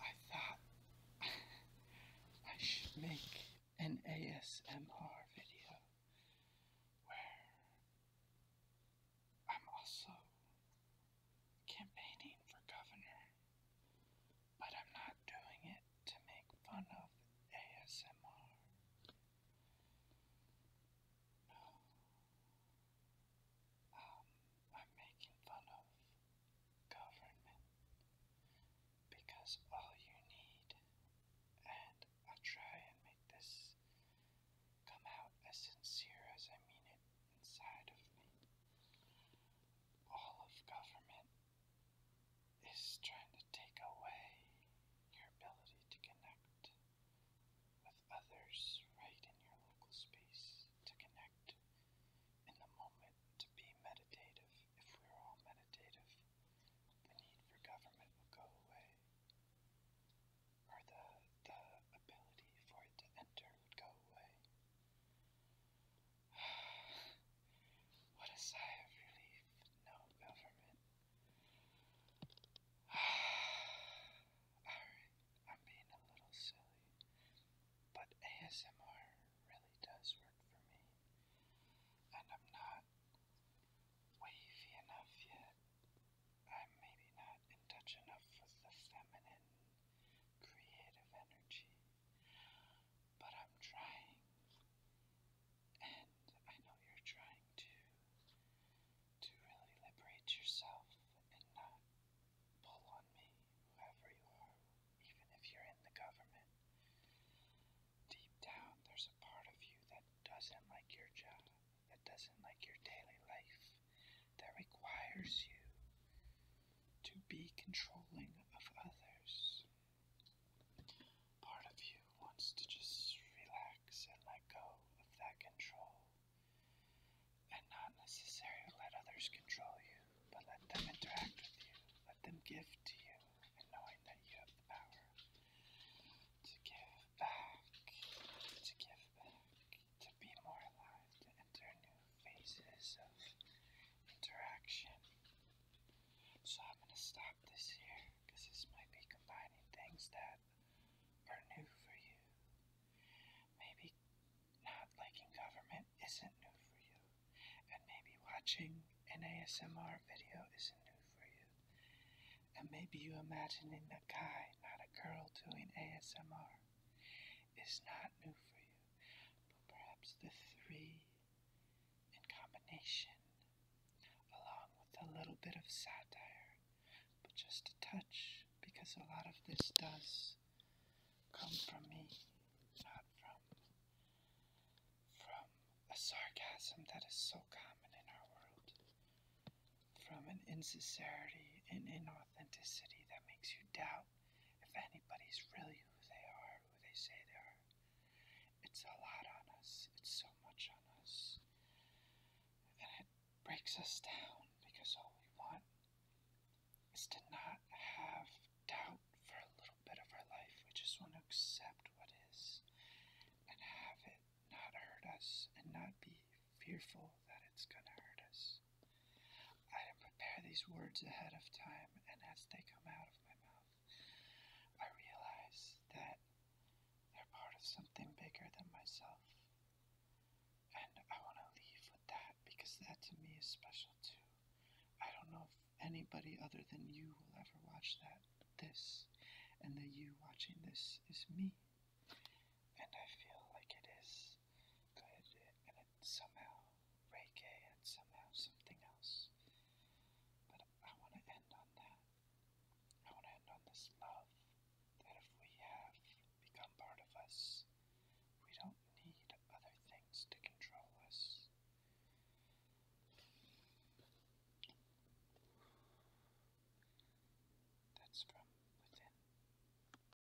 I thought I should make an ASMR video where I'm also campaigning for governor, but I'm not doing it to make fun of ASMR. No. I'm making fun of government because all you need, and I try and make this come out as sincere as I mean it inside of me, all of government is trying to take away your ability to connect with others right in your local space to connect in the moment to be meditative. If we're all meditative, the need for government will go away, or the, the ability for it to enter would go away. what a sigh of relief, no government. Alright, I'm being a little silly, but ASMR really does work for me, and I'm not wavy enough yet. I'm maybe not in touch enough with the feminine creative energy, but I'm trying. And I know you're trying to to really liberate yourself and not pull on me, whoever you are, even if you're in the government. Deep down, there's a part of you that doesn't like your job, that doesn't like your daily life, that requires you to be controlling of others. Part of you wants to just relax and let go of that control and not necessarily let others control you, but let them interact with you, let them give to you, and knowing that you have the power to give back, to give back, to be more alive, to enter new phases of interaction. So I'm going to stop this here because this might be combining things that are new for you. Maybe not liking government isn't new for you, and maybe watching an ASMR video isn't new for you. And maybe you imagining a guy, not a girl, doing ASMR is not new for you, but perhaps the three in combination, along with a little bit of satire, but just a touch, because a lot of this does come from me, not from from a sarcasm that is so common in our world, from an insincerity and inauthenticity that makes you doubt if anybody's really who they are, who they say they are. It's a lot on us. It's so much on us. And it breaks us down because all we want is to not have doubt for a little bit of our life. We just want to accept what is and have it not hurt us and not be fearful that it's going to hurt us. I didn't prepare these words ahead of time, and as they come out of my mouth, I realize that they're part of something bigger than myself. And I want to leave with that because that to me is special too. I don't know if anybody other than you will ever watch that, this, and the you watching this is me. And I feel like it is good, and it's somehow reggae, and somehow something else. But I want to end on that. I want to end on this love that if we have become part of us, we don't need other things to control us. That's from within.